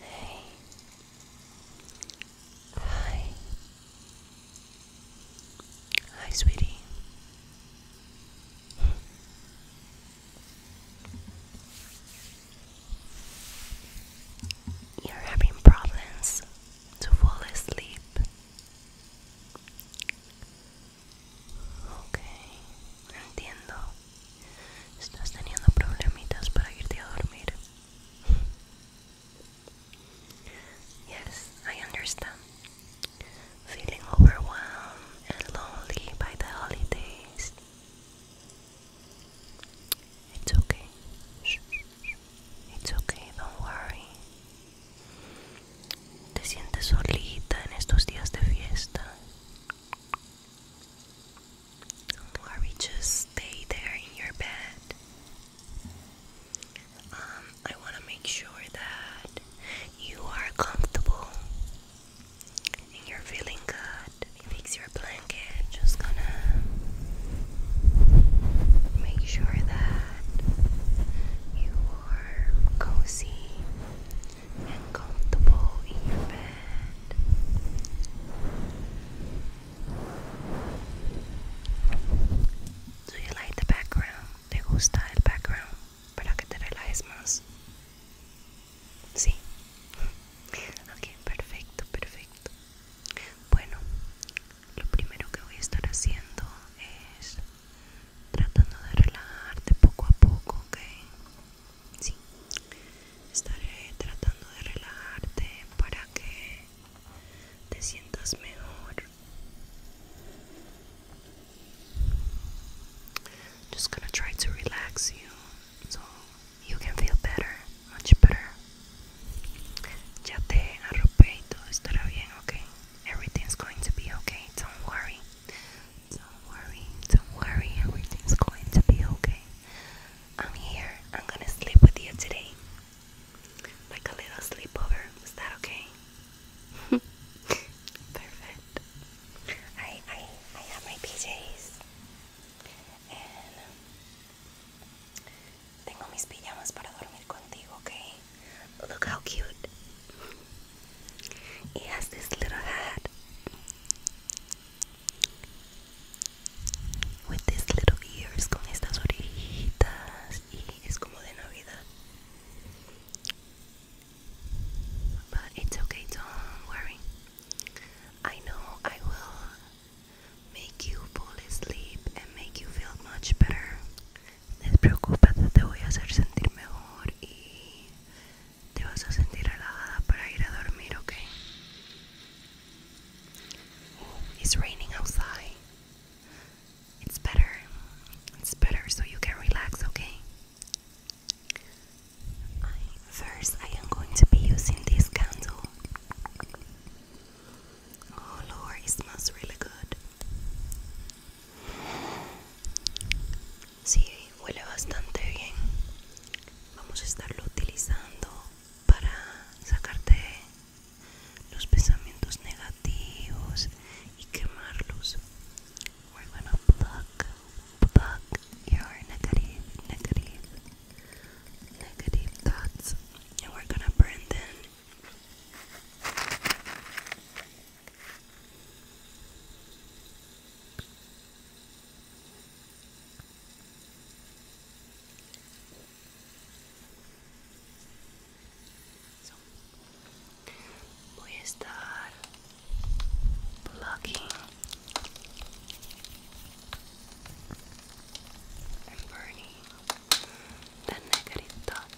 Hey. Hi. Hi, sweetie. You're having problems to fall asleep. Ok, entiendo. Estás teniendo problemitas para irte a dormir. Yes, I understand. Feeling overwhelmed and lonely by the holidays. It's okay. It's okay, don't worry. ¿Te sientes solita en estos días de fiesta? Or we just stay there in your bed? Um, I want to make sure that you are comfortable and you're feeling good. Fix your blanket. Just gonna make sure that you cozy, comfortable bed. Do you like the background? ¿Te gusta el background para que te relajes más? Sí. Ok, perfecto, perfecto. Bueno, lo primero que voy a estar haciendo es tratando de relajarte poco a poco, ¿ok? Sí, estaré tratando de relajarte para que te sientas mejor. Just gonna try to relax you so you can feel better, much better. Ya te arropé y todo estará bien, ¿ok? Everything's going to be okay. Don't worry. Don't worry. Don't worry. Everything's going to be okay. I'm here. I'm gonna sleep with you today. Like a little sleepover. Is that okay? Perfect. I I I have my PJs and um, tengo mis pijamas para dormir contigo, okay? Look how cute. He has this little hat with these little ears con estas orejitas y es como de Navidad. But it's okay, do worry. I know I will make you fall asleep and make you feel much better No te voy a hacer sentir mejor y te vas a sentir relajada para ir a dormir, ¿ok? Oh, it's raining outside. It's better. It's better so you can relax, okay? first, I am going to be using this candle. Oh Lord, it smells really good. Sí, huele bastante bien. Vamos a estarlo utilizando para sacarte los pensamientos negativos y quemarlos. We're gonna pluck, plug your negative, negative, negative thoughts, and we're gonna burn them Voy a estar plugging and burning the negative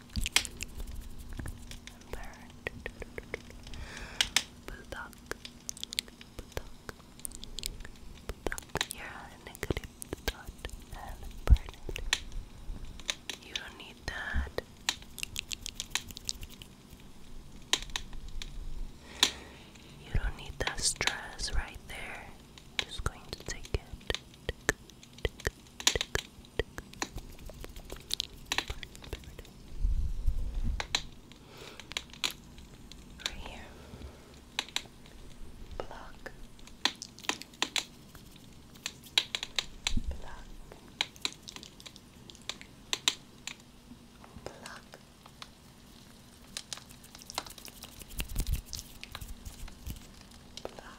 and bird. Bulldog. Bulldog. Bulldog. you negative thought and burn You don't need that. You don't need that stress right there. Just going to take it. Right here. Block. Block. Block. Block.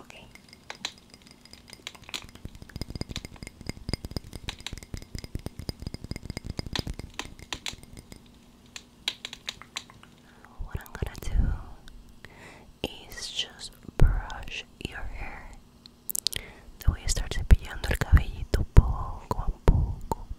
Okay. What I'm gonna do is just brush your hair. Te voy a estar cepillando el cabellito poco a poco,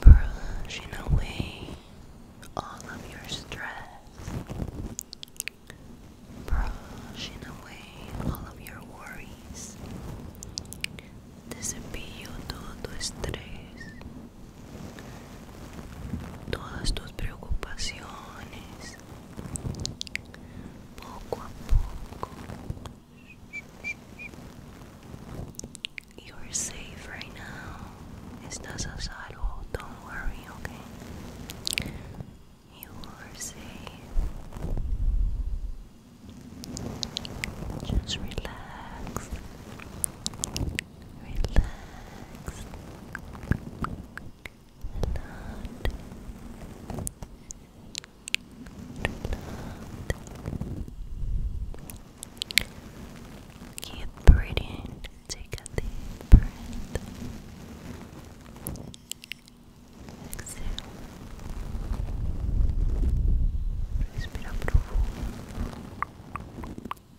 Brushing away all of your stress, brushing away all of your worries. Te todo tu estrés. All tus preocupaciones poco a poco. You're safe right now. Estás a salvo. Don't worry, okay? You are safe. Just relax. Relax. Relaxed. Keep breathing. Take a deep breath. Exhale. Respira profundo.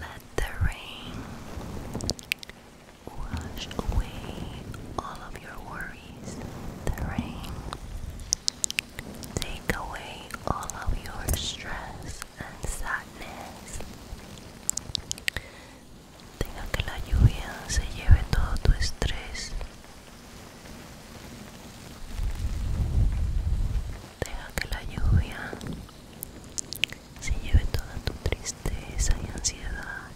Let the rain wash away all of your worries. The rain take away all of your stress and sadness. Deja que la lluvia se lleve todo tu estrés. Deja que la lluvia se lleve toda tu tristeza y ansiedad.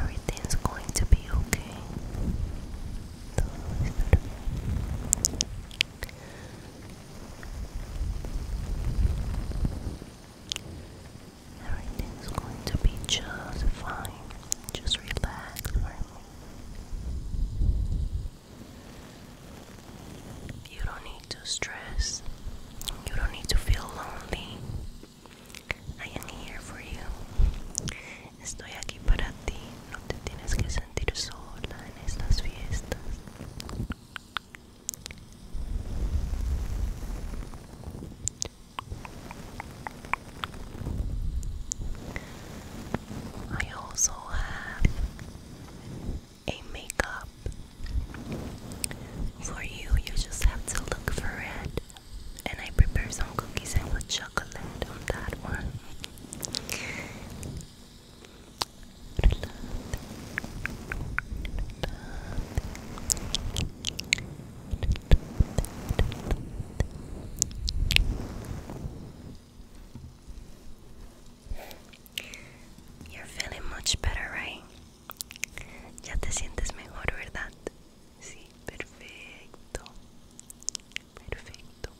Everything's going to be okay. Todo va a estar bien. Everything's going to be just fine. Just relax for You don't need to stress. You don't need to feel lonely. I am here for you. Estoy aquí para ti. No te tienes que sentir sola en estas fiestas. I also have a makeup for you. You just have to look for it. And I prepare some cookies and with chocolate on that one. You're feeling much better, right? Ya te sientes mejor, ¿verdad? Sí, perfecto. Perfecto.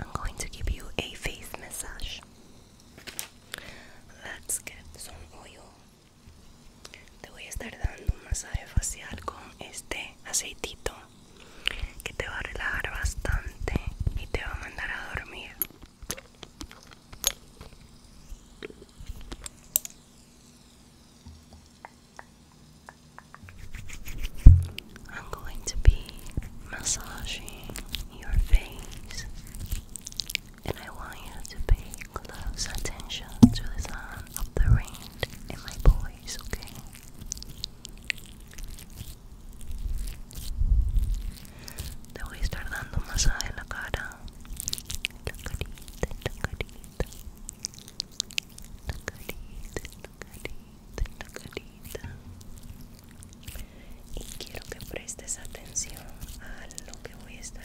I'm going to give you a face massage. Let's get some oil te voy a estar dando un masaje facial con este aceitito que te va a relajar bastante y te va a mandar a dormir I'm going to be massaging your face and I want you to pay close attention to the sound of the rain in my voice, okay? Te voy a estar dando masaje en la cara, la carita, la carita, la carita, la carita, la carita. Y quiero que prestes atención a lo que voy a estar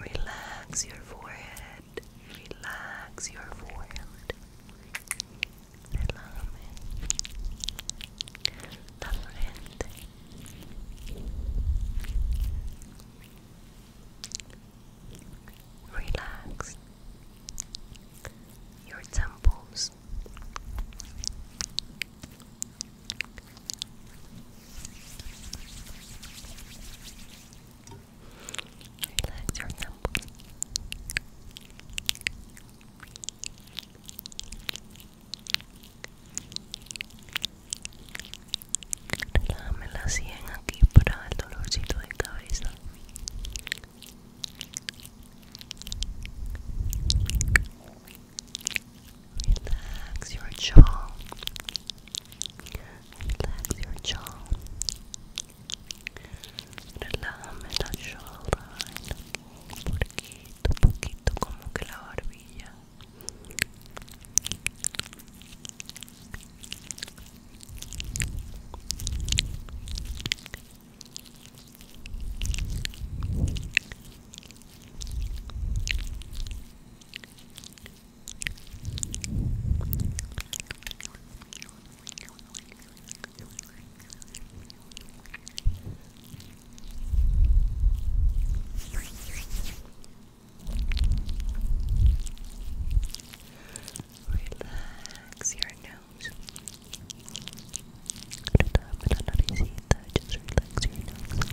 Relax your forehead. Relax your forehead. Relax your temples. Relax your temples. Relájame la sien aquí para el dolorcito de Relax your jaw. Relax your jaw. Relame la jawline. Poquito, poquito, como que la barbilla. Relax your nose. Just relax your nose.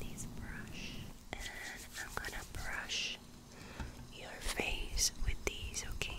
These brush, and I'm gonna brush your face with these, okay?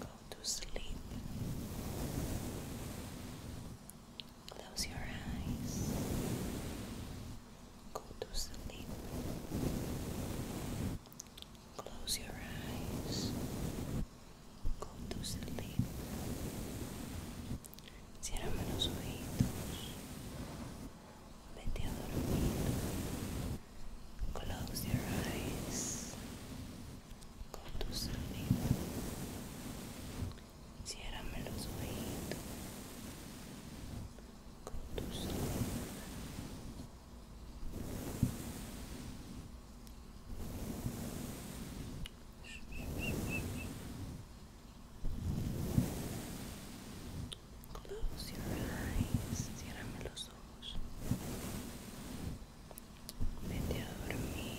Go to sleep. Close your eyes. Go to sleep. Close your eyes. Go to sleep. Ciérrame los oídos, Vete a dormir. Close your eyes. Go to sleep. Ciérrame los oídos con tus Close your eyes, ciérrame los ojos. Vete a dormir.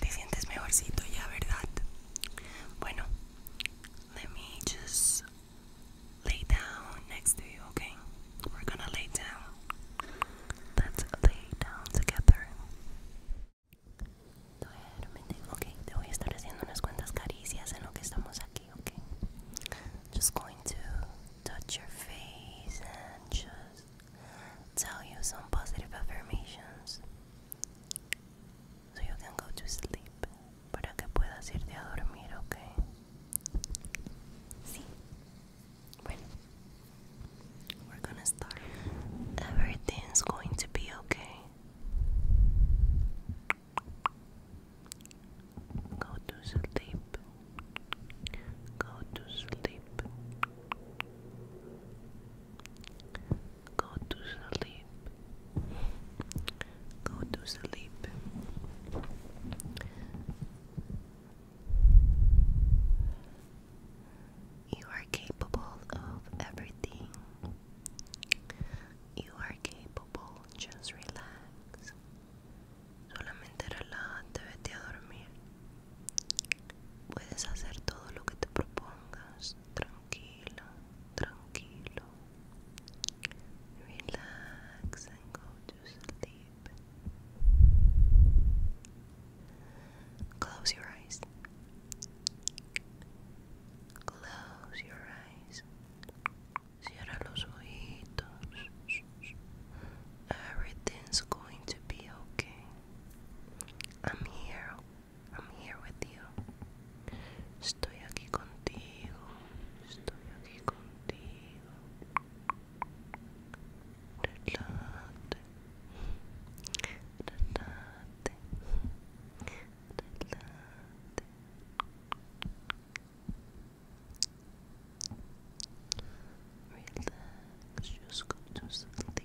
Te sientes mejorcito ya, ¿verdad? Bueno, Let me just lay down next to you, okay? We're gonna lay down. let lay down together. Duérmete, ok. Te voy a estar haciendo unas cuantas caricias en lo que estamos aquí, ok? Just going to touch your face and just tell you some positive affirmations so you can go to sleep para que puedas irte a dormir, ¿ok? Sí. Bueno. going to be okay. Go to sleep. Go to sleep. Go to sleep. Go to sleep. You are capable of everything. You are capable. Just relax. Solamente relájate, vete a Puedes hacer todo lo que te propongas tranquilo, tranquilo. Relax and go to sleep. Close your eyes. Close your eyes. Cierra los ojitos. Everything's going to be okay. I'm here, I'm here with you. Estoy aquí contigo. Estoy aquí contigo. Relájate. Relájate. Relájate. Relax, just go to sleep.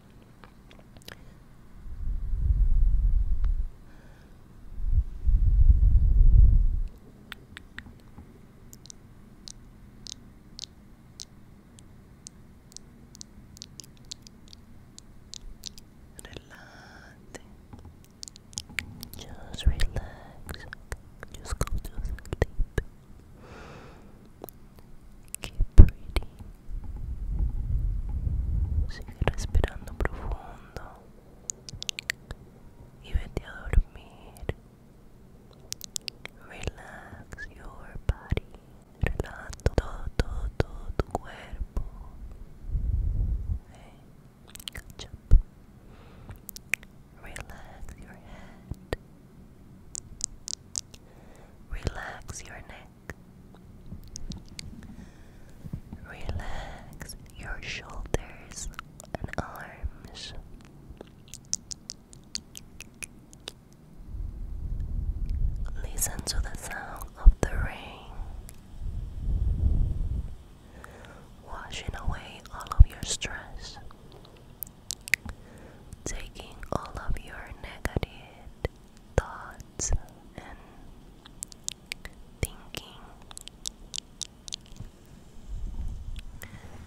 Relate. Just relax. Just go to sleep. Qué pretty. Sigue respirando profundo y vete a dormir. Relax your body. Relaja todo, todo, todo tu cuerpo. Eh, Relax your head. Relax your neck. Relax your shoulders and arms. Listen to the sound of the rain, washing away all of your stress, taking all of your negative thoughts and thinking.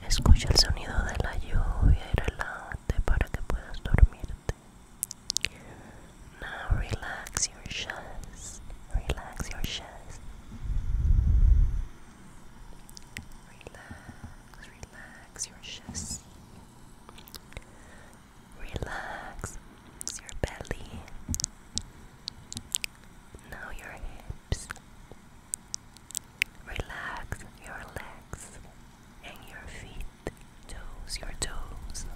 Escucha el sonido de la lluvia y relájate para que puedas dormirte. Now relax your chest. Relax your chest. Relax, relax. relax your chassis, relax your belly, now your hips, relax your legs and your feet, toes, your toes.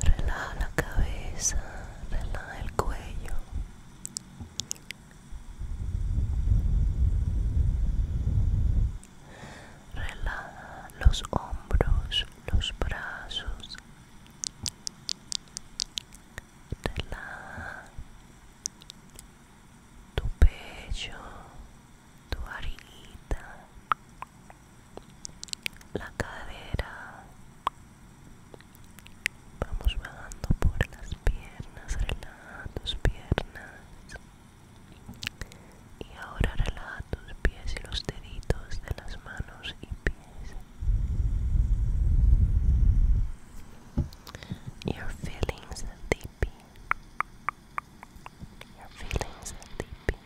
Relaja la cabeza, relaja el cuello, Relaja los hombros, los brazos. Relaja tu pecho, tu arita, la cadera, Vamos vagando por las piernas, relaja tus piernas. Y ahora relaja tus pies y los deditos de las manos y pies. Your feelings deep. Your feelings deep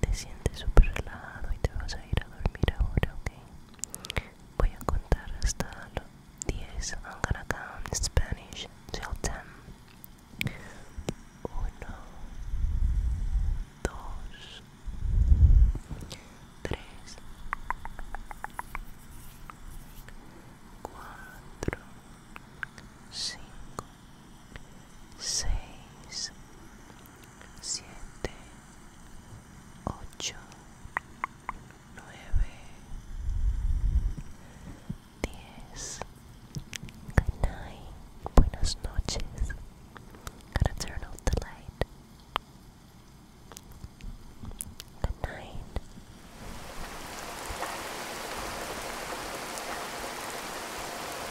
te sientes súper relajado y te vas a ir a dormir ahora, ¿ok? Voy a contar hasta 10. I'm gonna count 10. 1, 2, 3, 4, 5, 6, siete, ocho, night. Buenas Gotta turn off the light. Good night.